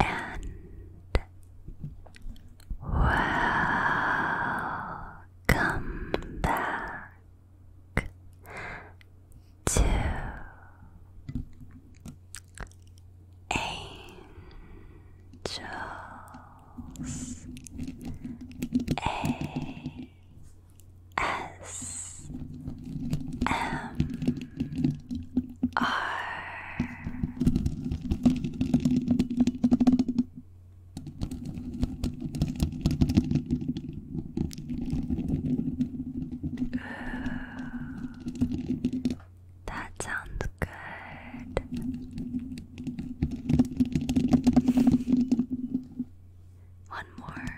and welcome back to Angels A S M R Ooh, that sounds good. One more.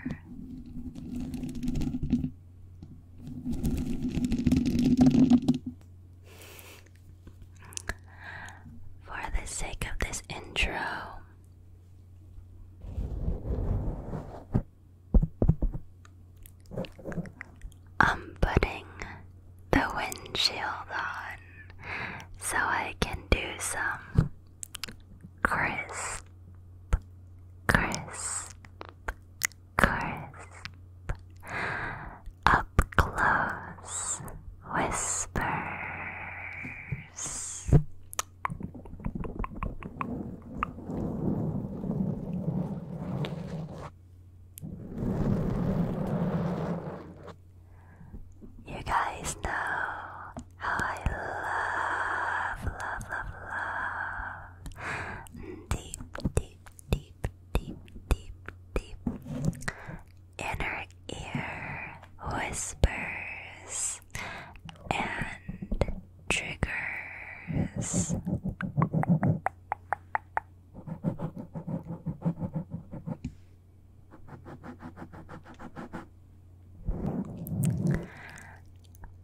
For the sake of this intro, I'm putting the windshield on so I can do some crisp, crisp, crisp, up close whispers. You guys know how I love, love, love, love deep, deep, deep, deep, deep, deep inner ear whispers and triggers.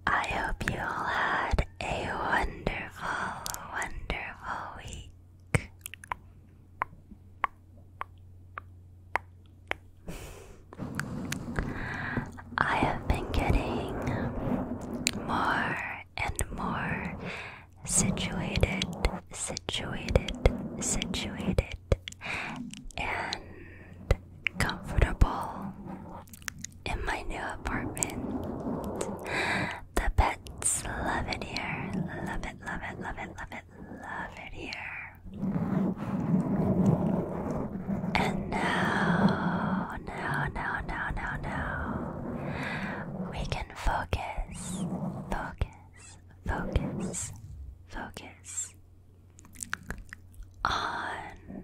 I hope you all had a wonderful, Oh, wonderful week. I have been getting more and more situated, situated, situated, and comfortable in my new apartment. The pets love it here. Love it, love it, love it, love it, love it here. And now, now, now, now, now, we can focus, focus, focus, focus on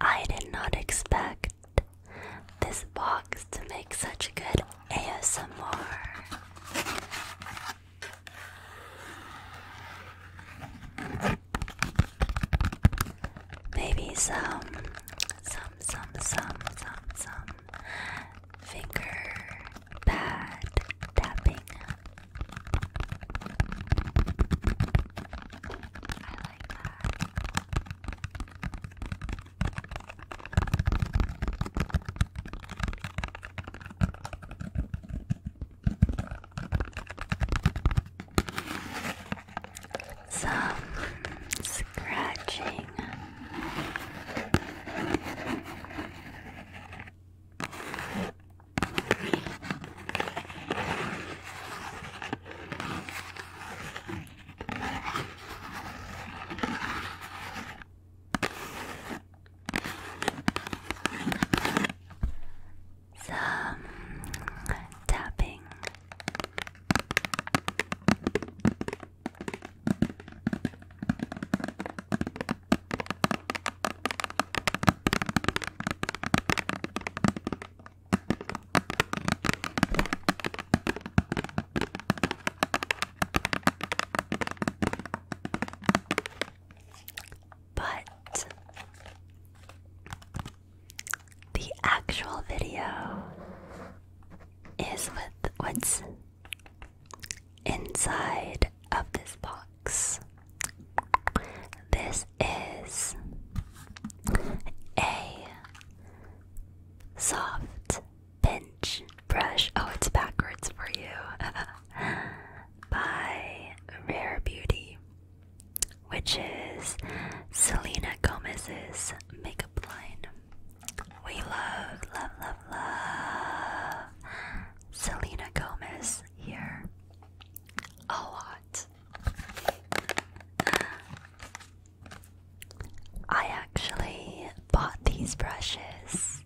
I did not expect this box to make such good ASMR. Maybe some, some, some, some, some, finger pad tapping. I like that. Some scratching. Some tapping. But the actual video is with what's inside of this box. This is a soft pinch brush. Oh, it's backwards for you. By Rare Beauty, which is Selena Gomez's makeup line. We love, love, love, love Selena Gomez here a lot. I actually bought these brushes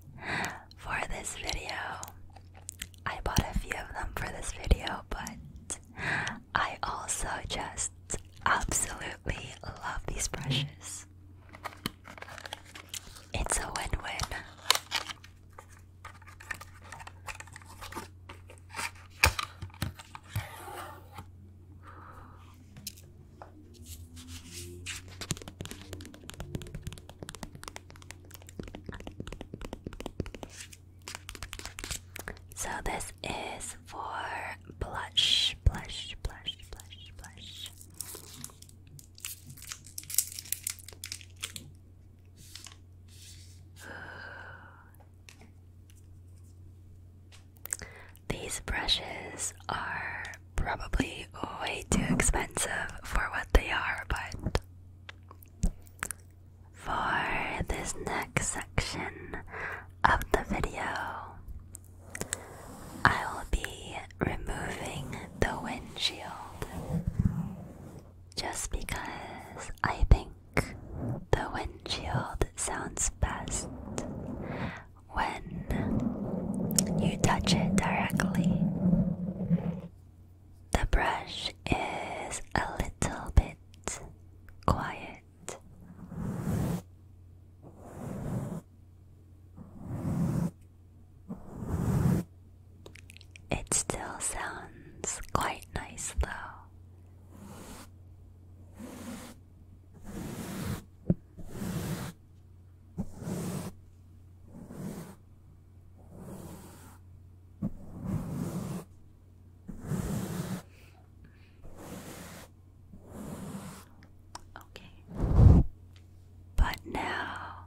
for this video. I bought a few of them for this video, but I also just absolutely love these brushes. It's a win win. So this is for blush, blush, blush, blush, blush. These brushes are probably way too expensive for what they are, but for this next section of the video, I will be removing the windshield just because I think the windshield sounds best when you touch it directly. The brush is a little bit quiet. It still sounds quite nice though. Okay. But now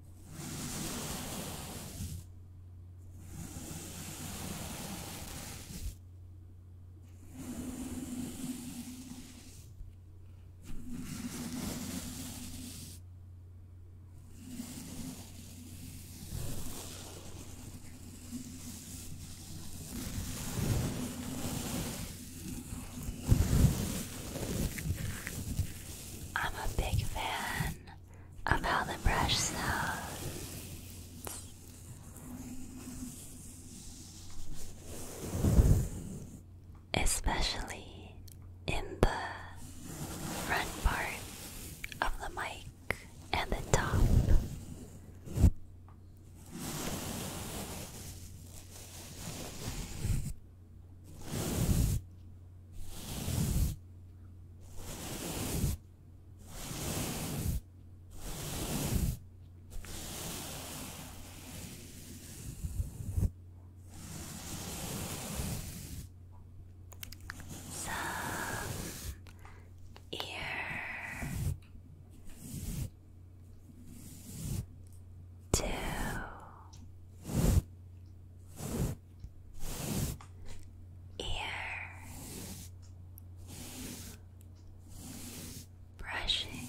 I'm a big fan of how the brush sounds. Especially in the front part of the mic and the top. Some ear two ear brushing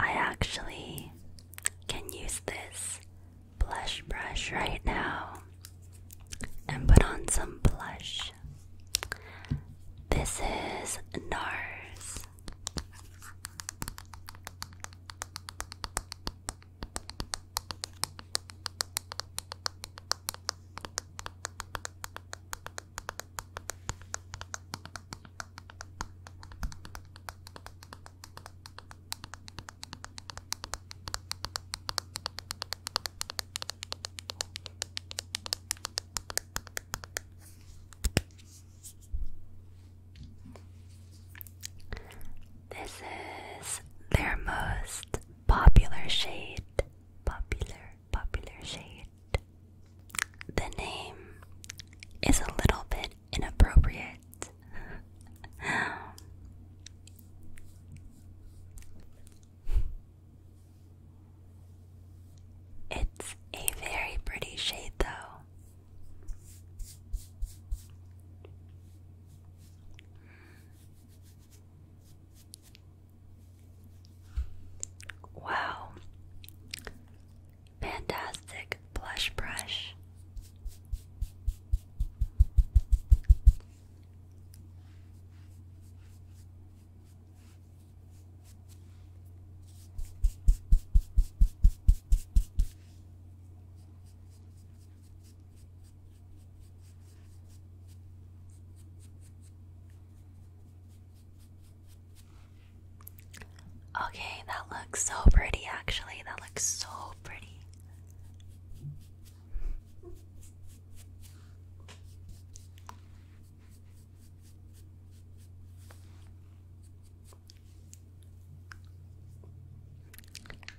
I actually can use this blush brush right now and put on some blush. This is NARS. This is their most popular shade. Popular, popular shade. The name is a little bit inappropriate. it's a very pretty shade, though. Wow, Fantastic blush brush. Okay, that looks so pretty actually. That looks so pretty.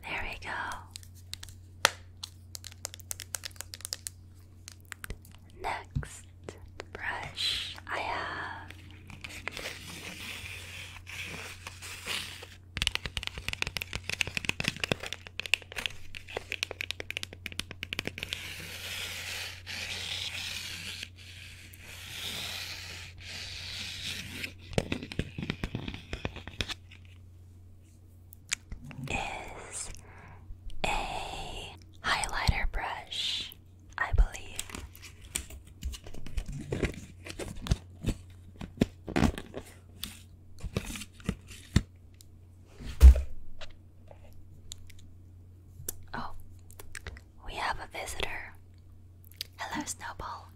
There we go. Next brush I have is a highlighter brush. I believe. Oh, we have a visitor. Hello, Snowball.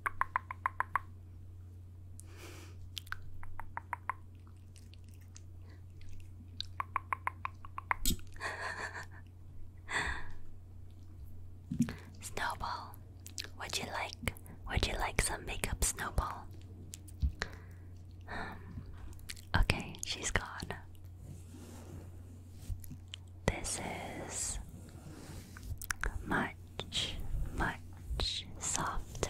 Snowball, would you like would you like some makeup, Snowball? Um, okay, she's gone. This is much, much softer.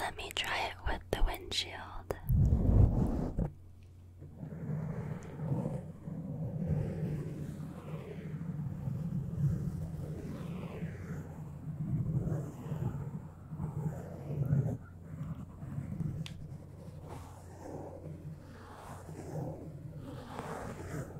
Let me try it with the windshield.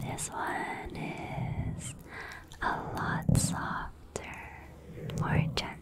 This one is a lot softer, more gentle.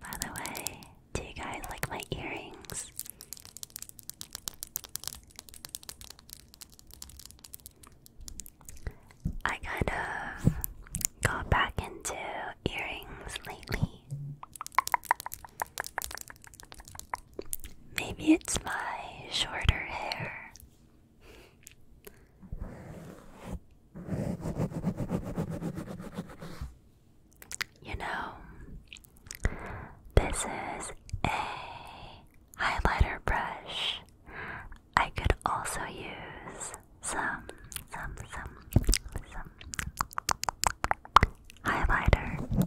By the way, do you guys like my earrings? I kind of got back into earrings lately. Maybe it's my shorter hair. You know, this is a highlighter brush. I could also use some, some, some, some highlighter.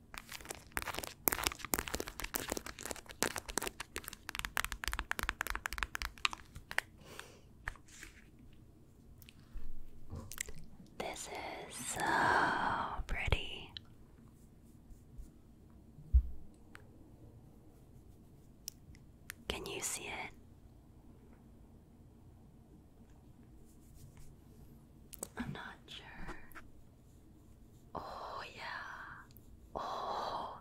This is so pretty. Can you see it? I'm not sure. Oh, yeah. Oh.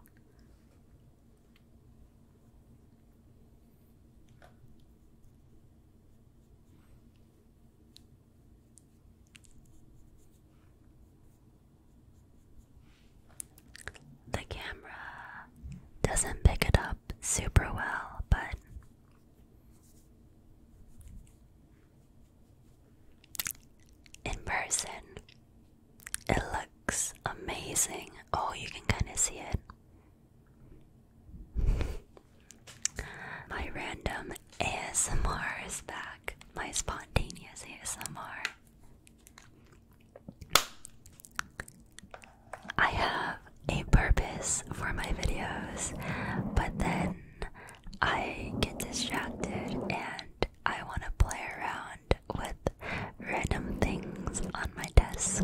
The camera doesn't pick it up super well, but in person, it looks amazing. Oh, you can kind of see it. My random ASMR is back. My spontaneous ASMR. I have a purpose for my videos, but then I get distracted and I want to play around with random things on my desk.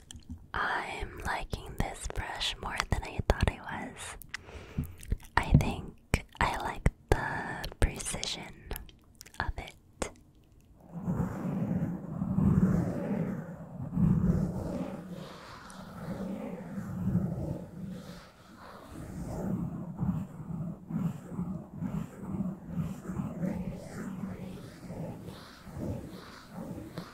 I'm liking this brush more than I thought I was. I think I like the precision of it.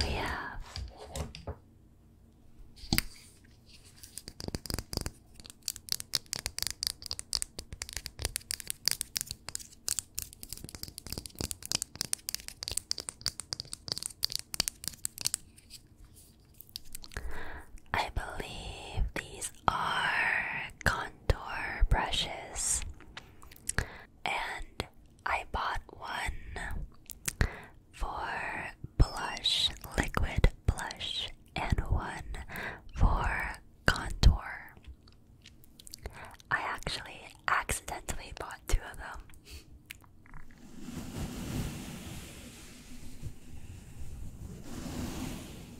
We have I believe these are contour brushes, and I bought one for blush, liquid blush, and one for contour. I actually accidentally bought two of them.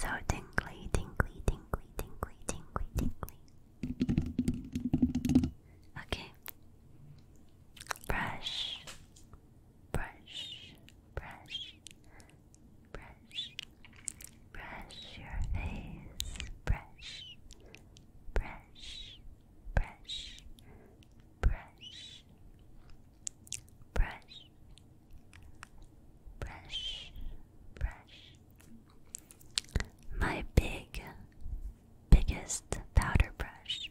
So tingly, tingly, tingly, tingly, tingly, tingly. Okay. Brush, brush, brush, brush, brush your face, brush, brush, brush, brush, brush, brush, brush. My big, biggest powder brush.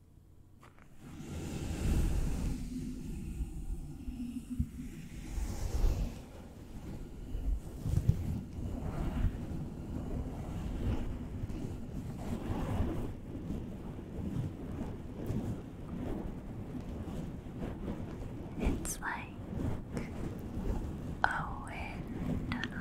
It's like a wind tunnel.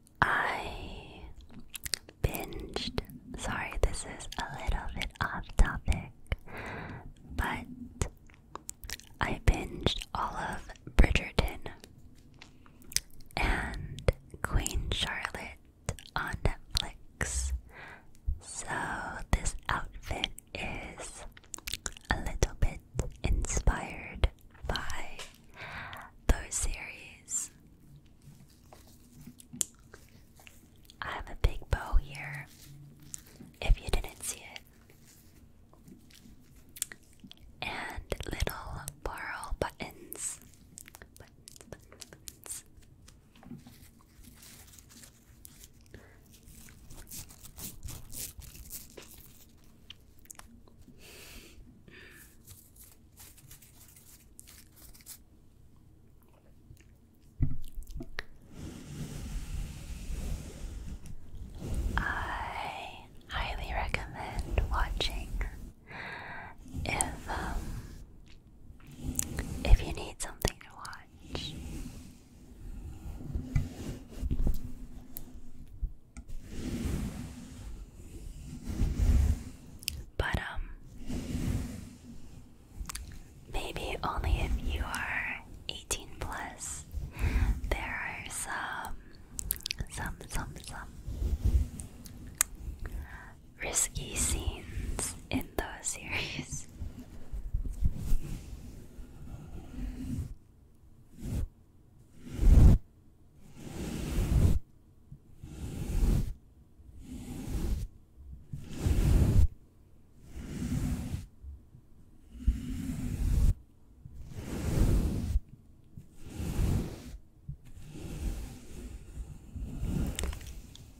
I binged. Sorry, this is a little bit off topic, but I binged all of Bridgerton and Queen Charlotte on Netflix. So, this outfit is a little bit inspired by those series. I have a big bow here, if you didn't see it, and little borrow buttons. I highly recommend watching if um, if you need something to watch. But, um, maybe only if you are 18 plus, there are some, some, some, some risky scenes in those series.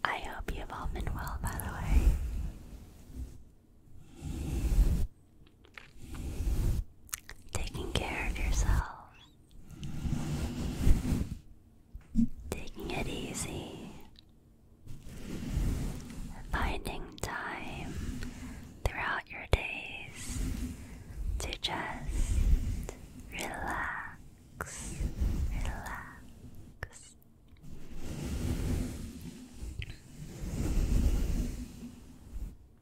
I hope you've all been well, by the way. Taking care of yourself, taking it easy, finding time throughout your days to just relax, relax.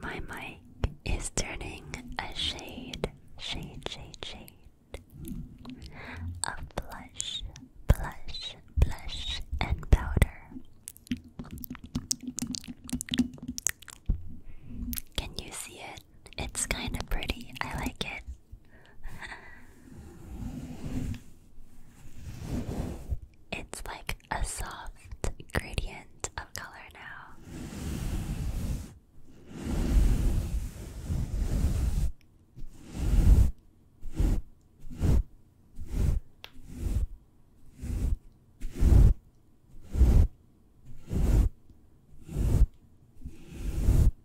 My mic is turning a shade, shade, shade, shade of blush, blush, blush, and powder. Can you see it? It's kind of pretty. I like it. it's like a soft gradient of color now.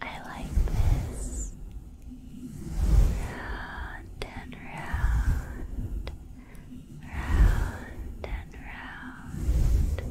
I like this round and round, round and round.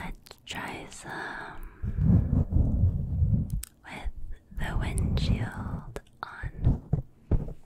Let's try some with the windshield on.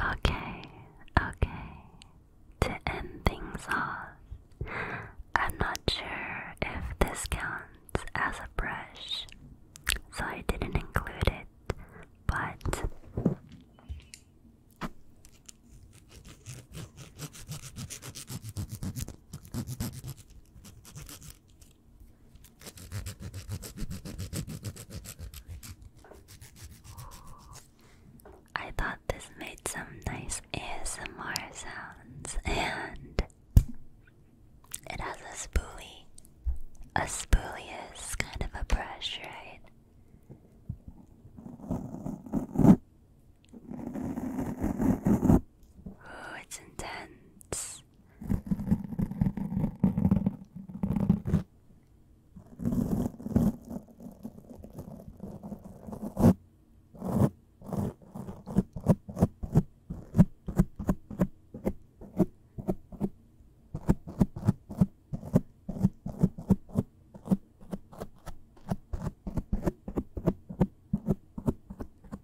Okay, okay. To end things off, I'm not sure if this counts as a brush, so I didn't include it, but. I thought this made some nice ASMR sounds, and it has a spoolie. A spoolie is kind of a brush, right? Oh, it's intense.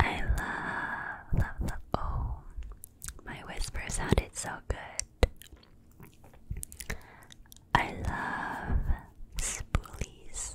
I love, love, Oh, my whisper sounded so good. I love spoolies.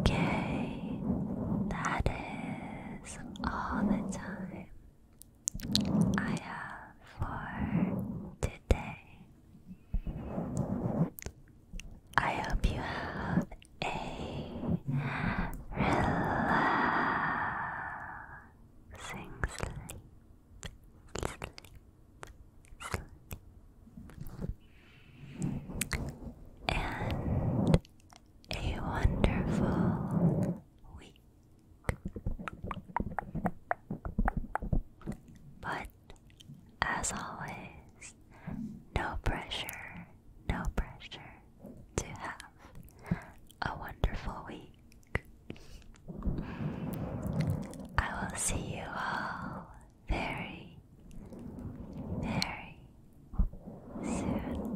Okay, that is all the time I have for today. I hope you have a relaxing sleep. And a wonderful week. But as always, no pressure, no pressure to have a wonderful week. I will see you all very, very soon.